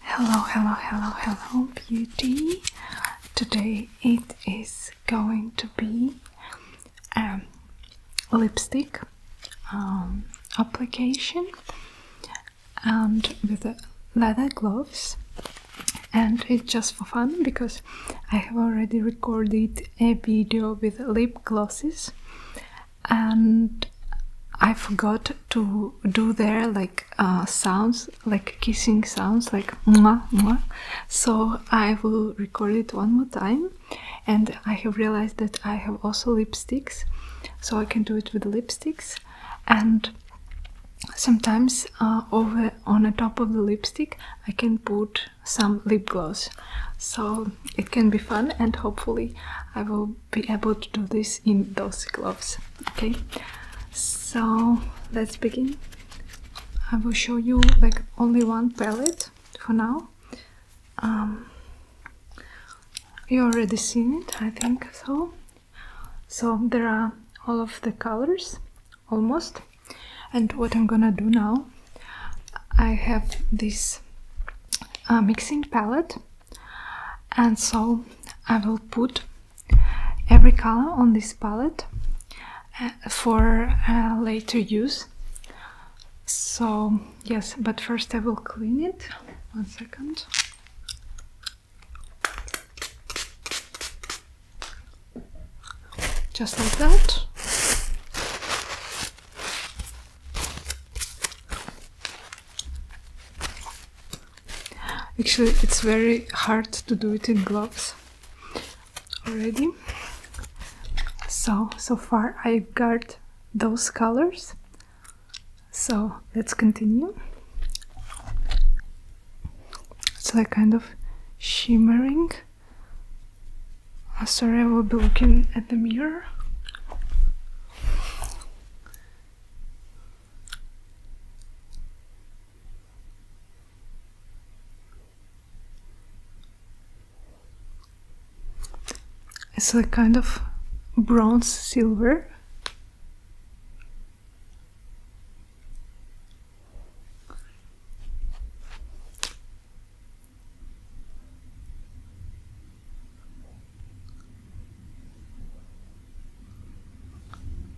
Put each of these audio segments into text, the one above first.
Hello, hello, hello, hello, beauty. Today it is going to be a um, lipstick um, application and with leather gloves. And it's just for fun because I have already recorded a video with lip glosses and I forgot to do there like uh, sounds, like kissing sounds, like mwah, mwah. So I will record it one more time. And I have realized that I have also lipsticks, so I can do it with lipsticks. And sometimes uh, over on the top of the lipstick, I can put some lip gloss. So it can be fun, and hopefully I will be able to do this in those gloves. Okay, so let's begin. I will show you like only one palette for now. Um, you already seen it, I think so. So there are all of the colors almost, and what I'm gonna do now, I have this uh, mixing palette and so I will put every color on this palette uh, for uh, later use so yes but first I will clean it one second just like that Actually, it's very hard to do it in gloves already. So, so far I have got those colors. So, let's continue. It's like kind of shimmering. Oh, sorry, I will be looking at the mirror. It's a kind of bronze silver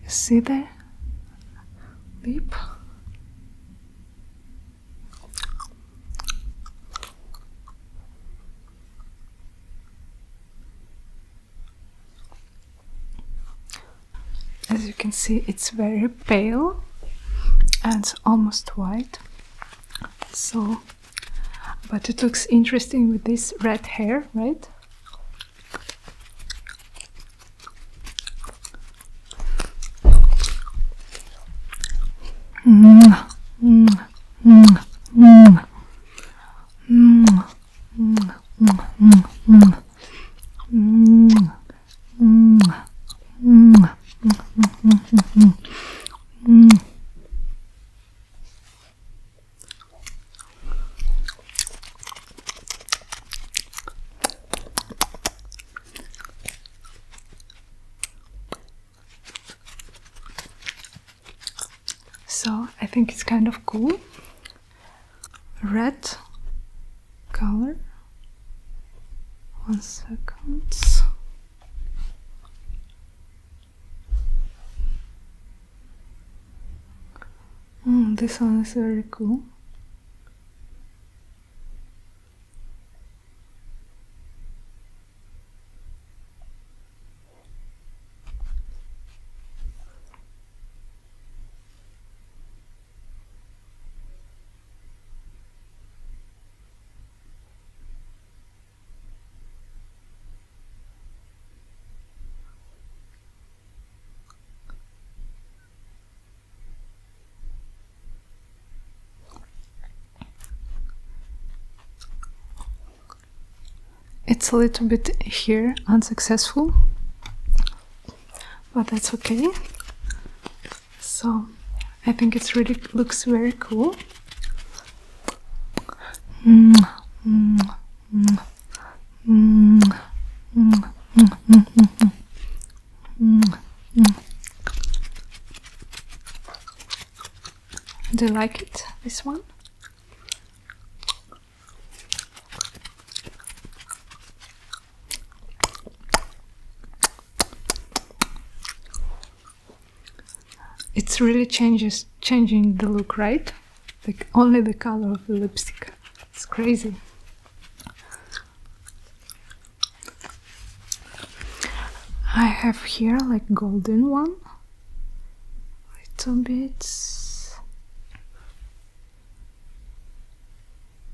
see there? Lip. As you can see, it's very pale and almost white so but it looks interesting with this red hair right so I think it's kind of cool. Red color one second. Mm, this one is very cool. It's a little bit here unsuccessful, but that's okay. So I think it's really looks very cool. Do you like it, this one? It's really changes changing the look, right? Like only the color of the lipstick. It's crazy. I have here like golden one. Little bits.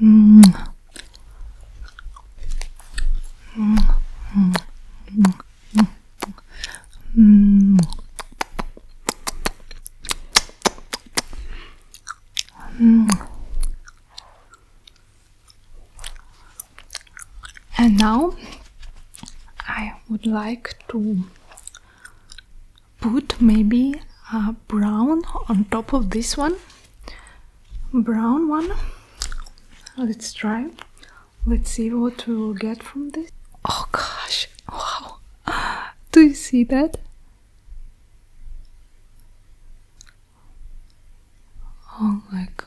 Mm -hmm. Mm -hmm. -hmm. -hmm. And now I would like to put maybe a brown on top of this one brown one let's try let's see what we will get from this oh gosh wow do you see that oh my god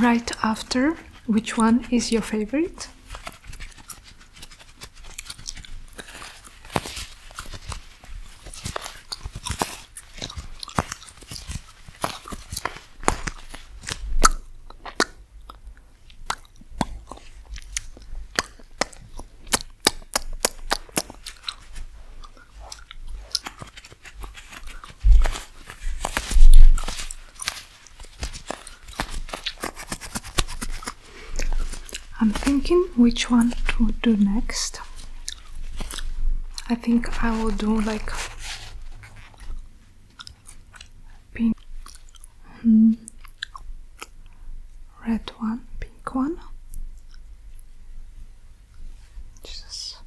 Right after, which one is your favorite? I'm thinking which one to do next. I think I will do like pink. Hmm red one, pink one. Jesus.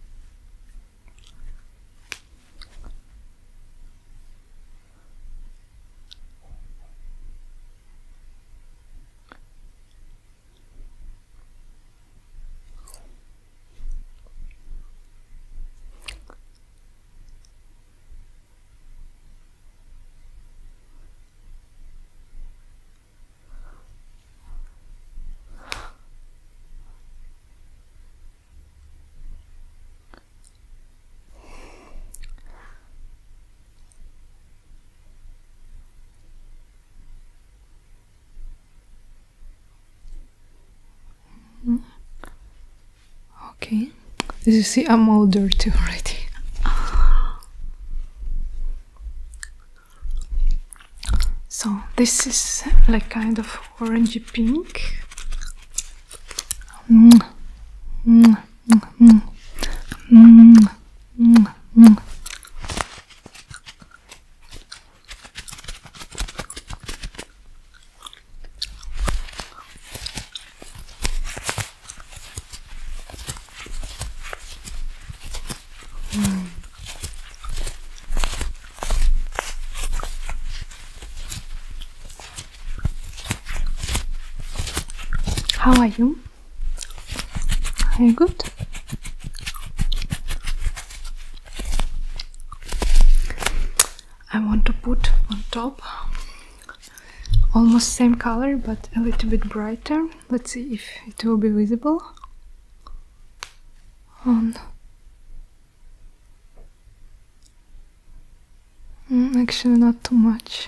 Okay, as you see, I'm older too already. So this is like kind of orangey pink. How are you? Are you good? I want to put on top almost same color but a little bit brighter let's see if it will be visible on mm, actually not too much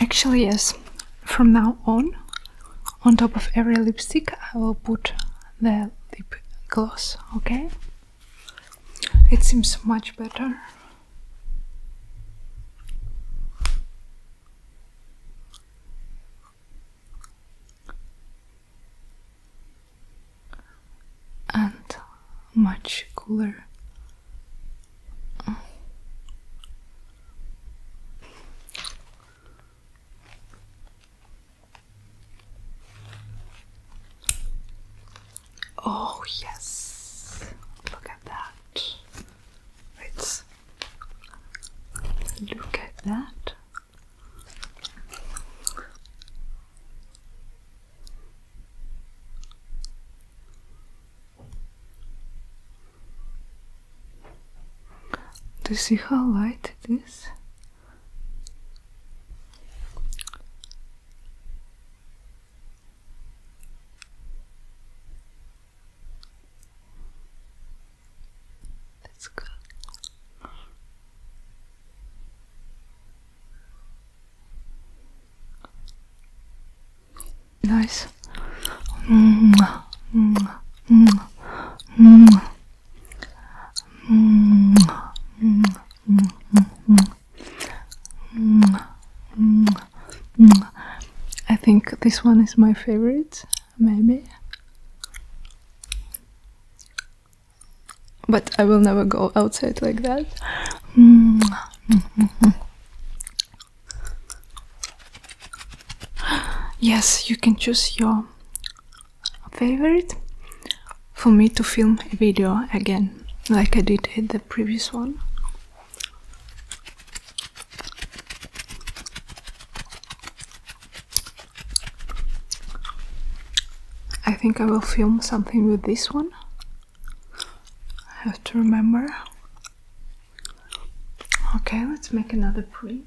Actually, yes, from now on, on top of every lipstick, I will put the lip gloss, okay? It seems much better and much cooler. Oh, yes, look at that. Let's look at that. Do you see how light it is? That's good. Nice. Mm -hmm. Mm -hmm. -hmm. -hmm. -hmm. -hmm. -hmm. I think this one is my favorite, maybe. But I will never go outside like that. Yes, you can choose your favorite for me to film a video again, like I did in the previous one. I think I will film something with this one. I have to remember. Okay, let's make another print.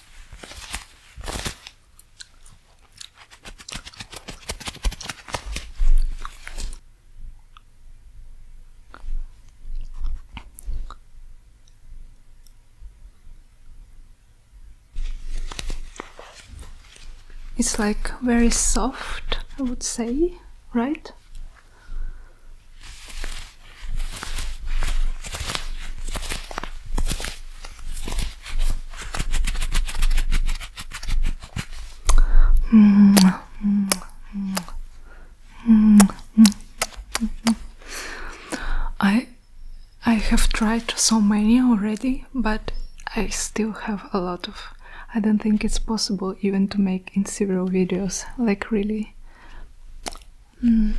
It's like very soft, I would say, right? I I have tried so many already, but I still have a lot of I don't think it's possible even to make in several videos like really Mm.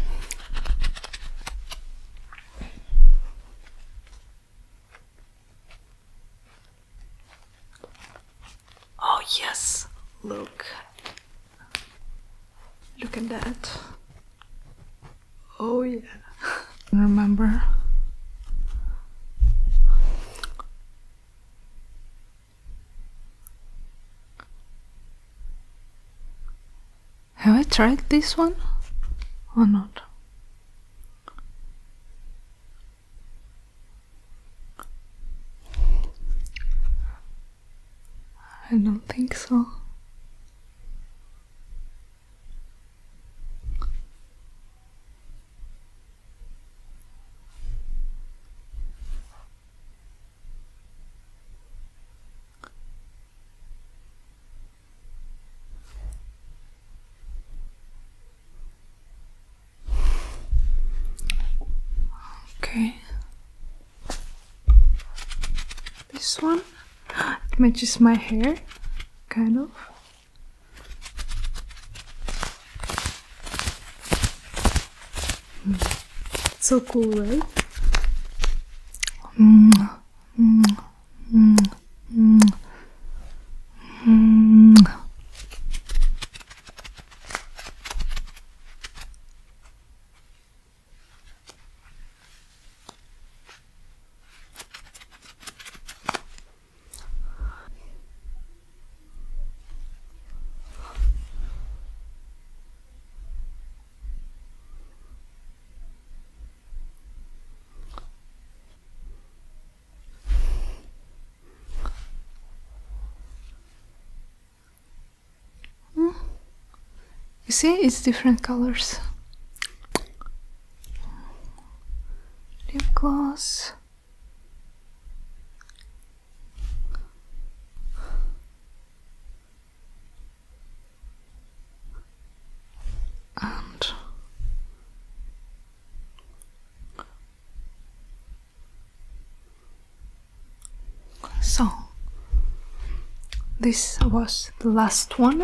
Oh, yes, look. Look at that. Oh, yeah. Remember? Have I tried this one or not? I don't think so. Okay. This one matches my hair, kind of. So cool, right? You see, it's different colors. Lip gloss and so this was the last one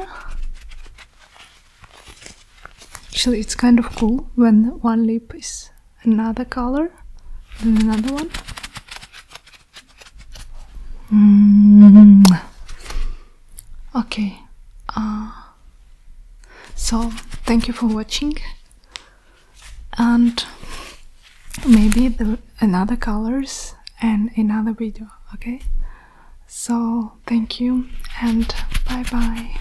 actually it's kind of cool when one lip is another color then another one mm. okay uh, so thank you for watching and maybe the another colors and another video okay so thank you and bye bye